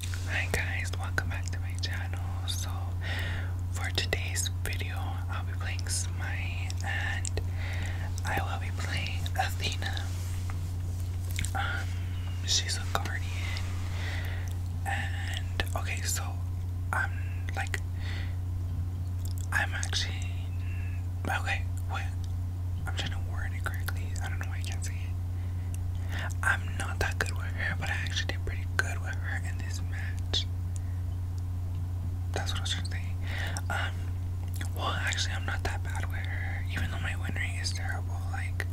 Hi guys, welcome back to my channel. So for today's video, I'll be playing Smite and I will be playing Athena. Um, she's a guardian and okay, so I'm like I'm actually okay, what I'm trying to word it correctly. I don't know why I can't say it. I'm not that good with her, but I actually did pretty good with her in this match. That's what I was trying to say. Um, well, actually, I'm not that bad with her, even though my win rate is terrible. Like,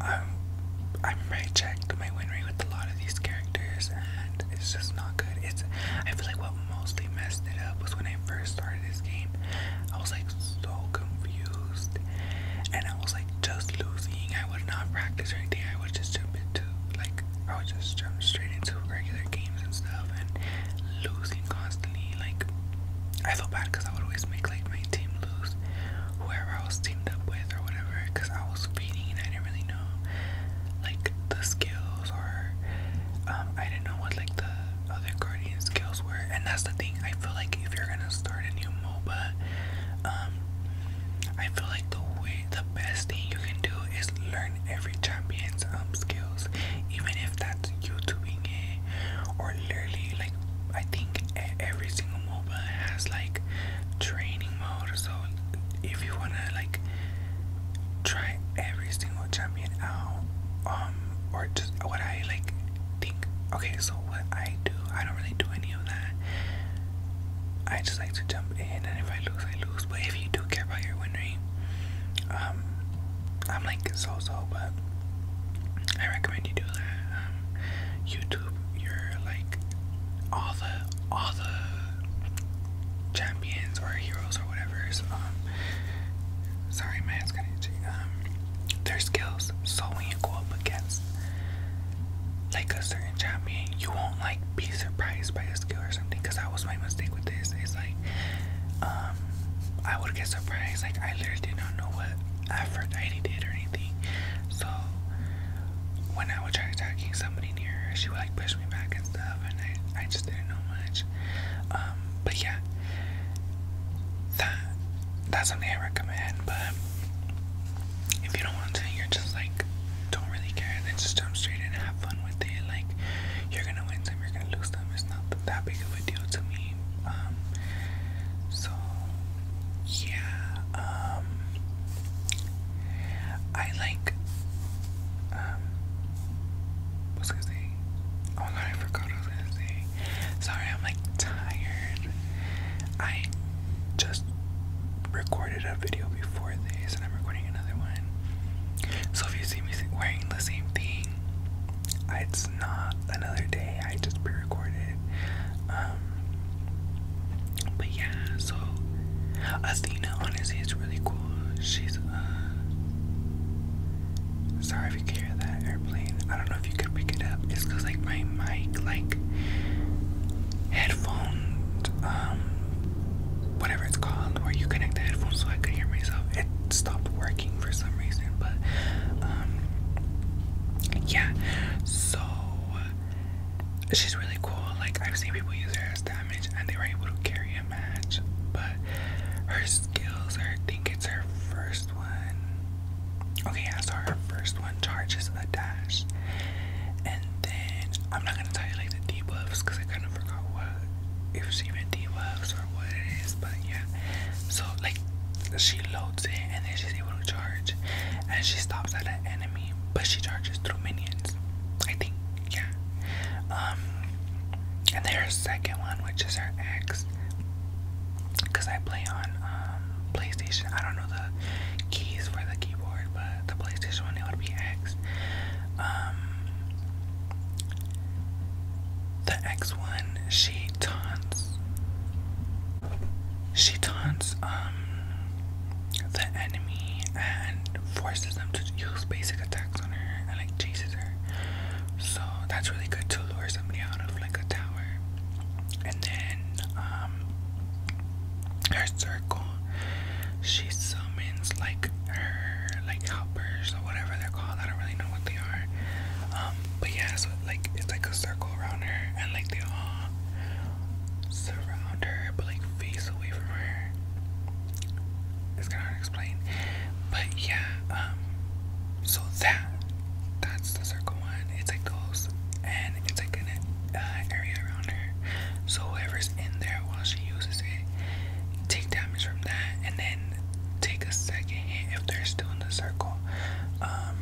um, I remember checked my win rate with a lot of these characters, and it's just not good. It's I feel like what mostly messed it up was when I first started this game, I was like so confused, and I was like just losing. I would not practice or anything. I would just jump into like I would just jump straight into regular games and stuff, and losing constantly. Like I felt bad because I would always make like my team lose, whoever I was teamed up with or whatever, because I was feeding and I didn't really know like the skills or um, I didn't know what like the other guardian skills were. And that's the thing, I feel like if you're gonna start a new MOBA, um, I feel like the way the best thing you can do is learn every champion's um skills, even if that's YouTubing it or literally like I think every single MOBA has like training mode. So if you wanna like try every single champion out, um, or just what I like think okay, so what I do, I don't really do any of that. I just like to jump in, and if I lose, I lose. But if you do care about your win rate, um, I'm like so so, but I recommend you do that. Um, YouTube, you're like all the all the champions or heroes or whatever. Um, sorry, my hands kind of itchy. Um, their skills. So when you go up against like a certain champion, you won't like be surprised by a skill or something. Cause that was my mistake with this. It's like, um, I would get surprised. Like I literally did not know what Aphrodite did or anything. So when I would try attacking somebody near her, she would like push me back and stuff, and I, I just didn't know much. Um, um, but yeah, that that's something I recommend. But if you don't want to, you're just like don't really care. Then just jump straight in and have fun with it. Like you're gonna win some, you're gonna lose some. It's not that big of a deal to me. Um, so yeah, um, I like um, what's gonna say? Oh my god, I forgot I was gonna say. Sorry, I'm like tired. I just recorded a video before this, and I'm recording another one. So if you see me wearing the same thing, it's not another day. I just pre-recorded. Um, but yeah, so Athena honestly is really cool she's uh sorry if you can hear that airplane. I don't know if you could pick it up. It's cause like my mic like headphones, um whatever it's called, where you connect the headphones so I could hear myself. It stopped working for some reason, but um yeah. So she's really cool. Like I've seen people use her as their and they were able to carry a match. But her skills, I think it's her first one. Okay, yeah, so her first one charges a dash. And then I'm not gonna tell you like the debuffs because I kind of forgot what if she even debuffs or what it is, but yeah. So like she loads it and then she's able to charge and she stops at an enemy, but she charges through minions. I think yeah. Um, and their second one, which is her ex, because I play on um, PlayStation. I don't know the keys for the keyboard, but the PlayStation one, it would be X. Um, the X one, she taunts. She taunts um the enemy and forces them to use basic attacks on her and like chases her. So that's really good to lure somebody out of like a tower. And then um her circle she summons like her like helpers or whatever they're called. I don't really know what they are. Um but yeah so like it's like a circle around her and like they all surround her but like face away from her it's kind of unexplained. But yeah, um, so that that's the circle one. It's like those, and it's like an uh, area around her. So whoever's in there while she uses it, take damage from that, and then take a second hit if they're still in the circle. Um,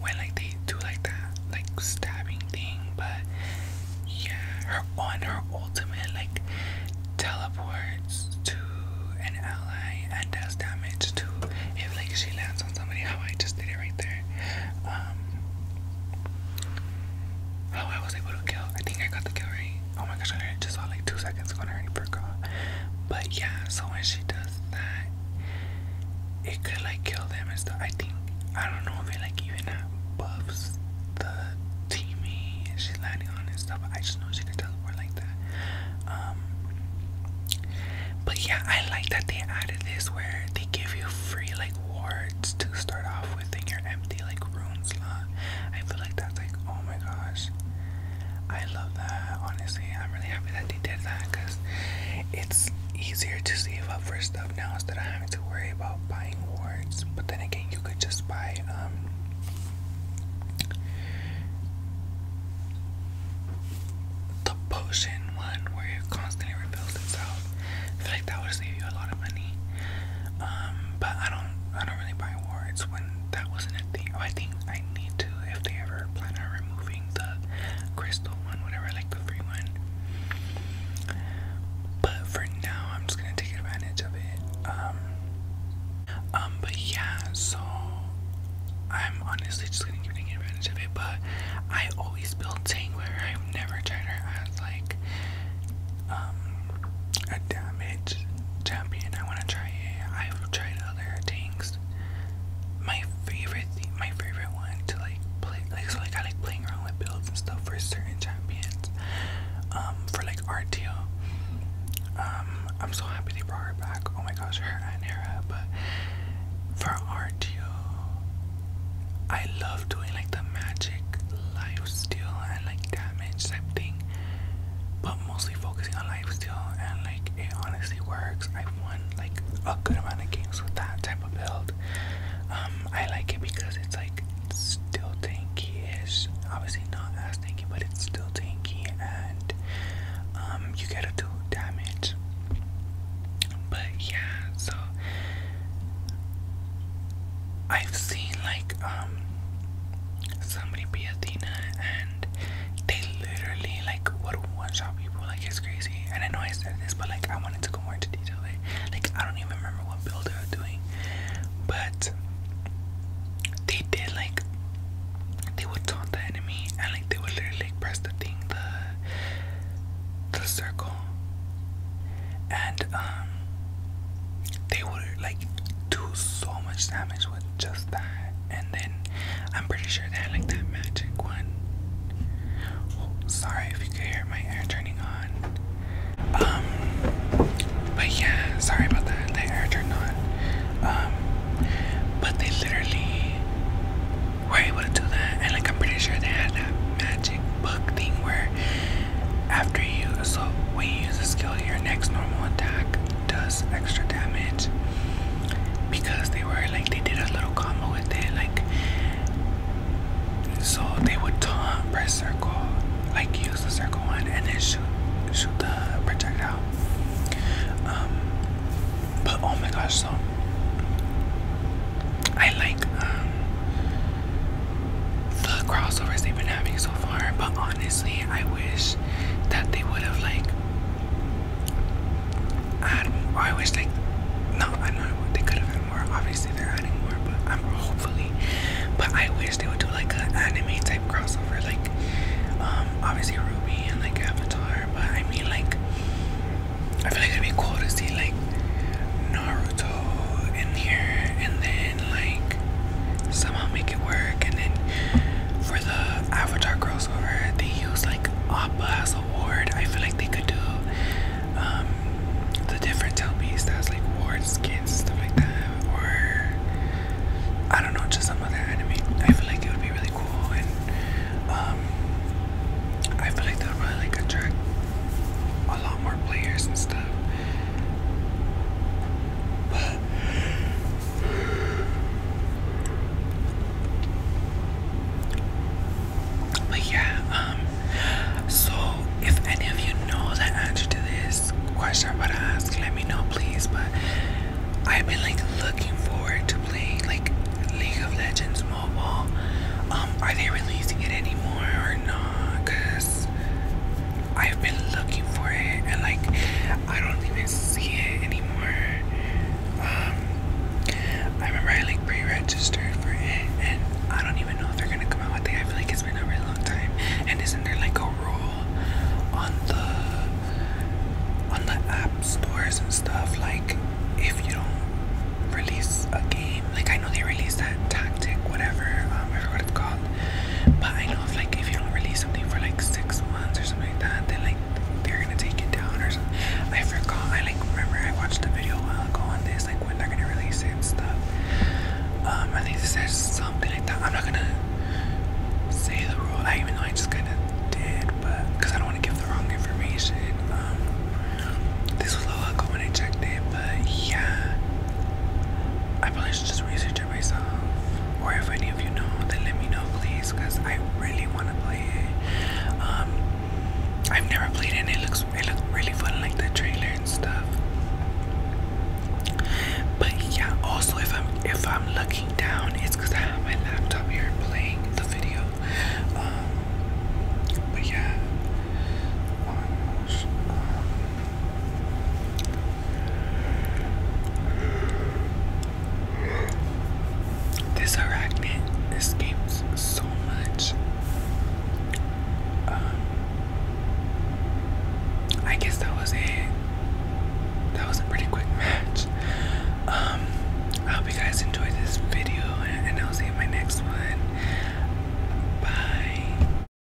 when like they do like that, like stabbing thing, but yeah, her on her ultimate like teleports to an ally and does damage to if like she lands on somebody. How I just did it right there. Um, how I was able to kill. I think I got the kill right. Oh my gosh, I just saw like two seconds ago I already forgot. But yeah, so when she does that, it could like kill them and stuff. I think I don't know if it like even uh, buffs the teamy and she's landing on and stuff. I just know she can teleport like that. Um, but yeah, I like that they added this where they give you free like wards to start off with in your empty like room slot. I feel like that's like oh my gosh. I love that honestly. I'm really happy that they did that because it's easier to see up for stuff stuff now instead of having to worry about buying wards. But then again, you could just buy um, the potion one where it constantly reveals itself. I feel like that would save you a lot of money. Um, but I don't, I don't really buy wards when that wasn't a thing. Oh, I think I need to if they ever plan on removing the crystal one, whatever, like the free one. But for now, I'm just gonna take advantage of it. Um, um, but yeah, so I'm honestly just gonna keep taking advantage of it. But I always build Tangler. I've never tried her as like um a damage champion. I wanna try it. I've tried other tanks my favorite my favorite one to like play like so like I like playing around with builds and stuff for certain champions. Um for like RTO. Um I'm so happy they brought her back. Oh my gosh, her and Hera, but for RTO I love doing like the magic life steal and like damage type thing. But mostly focusing on life steal and like it honestly works i won like a good amount of games with that type of build. Um, I like it because it's like still tanky-ish. Obviously not as tanky, but it's still tanky, and um, you get a do damage. But yeah, so I've seen like um somebody be Athena and they literally like would one shot people. Like it's crazy. And I know I said this, but like I wanted to go more into detail. Like, like I don't even remember what build they were doing, but they did like they would taunt the enemy and like they would literally like, press the thing the the circle and um they would like do so much damage with just that and then I'm pretty sure they had like that magic one. Oh, sorry if you could hear my air turning on. Um, but yeah, sorry about that. The air turned on. Um, but they literally were able to do that, and like I'm pretty sure they had that magic book thing where after you, so when you use a skill, your next normal attack does extra damage because they were like they did a little combo with it like so they would taunt press circle like use the circle one and then shoot shoot the projectile um but oh my gosh so I like um the crossovers they've been having so far but honestly I wish that they would have like I wish they, no, I know they could have had more. Obviously, they're adding more, but I'm hopefully, but I wish they would do like an anime type crossover, like, um, obviously Ruby and like Avatar, but I mean, like, I feel like it'd be cool to see like Naruto in here and then like somehow make it work, and then for the Avatar girls or they use like oppa as award i feel like they could do um, the different telpies that's like awards kids stuff like that or i don't know just some other anime i feel like it would be really cool and um, i feel like that would like attract a lot more players and stuff but yeah, um, so if any of you know the answer to this question I'm about to ask, let me know please. But I've been like looking forward to playing like League of Legends mobile. Um, are they releasing it anymore or not? Cause I have been looking for it, and like I don't even see it anymore. Um, I remember I like pre-registered for it, and I don't even know if they're gonna come out with it. I feel like it's been a really long time, and isn't there like a rule on the on the app stores and stuff like if you don't release a game? Like I know they released that tactic, whatever, um, I forgot what it's called but I know like if you don't release something for like six months or something like that, then like they're gonna take it down or something. I forgot. I like remember I watched a video a while ago on this, like when they're gonna release it and stuff. Um, I think it says something like that. I'm not gonna say the rule. I even though I just kind of did, but because I don't want to give the wrong information. Um, this was a while ago when I checked it, but yeah, I probably should just research to Or if any of you know, then let me know, please, because I really want to play it. Um, I've never played it, it looks really fun, like the trailer and stuff. But yeah, also if I'm if I'm looking down, it's because I have my laptop here playing the video. Um, but yeah. Um, this arachnid escapes so much. Um, I guess that was it. That was a pretty quick match. Um, I hope you guys enjoyed this video, and I'll see you in my next one. Bye.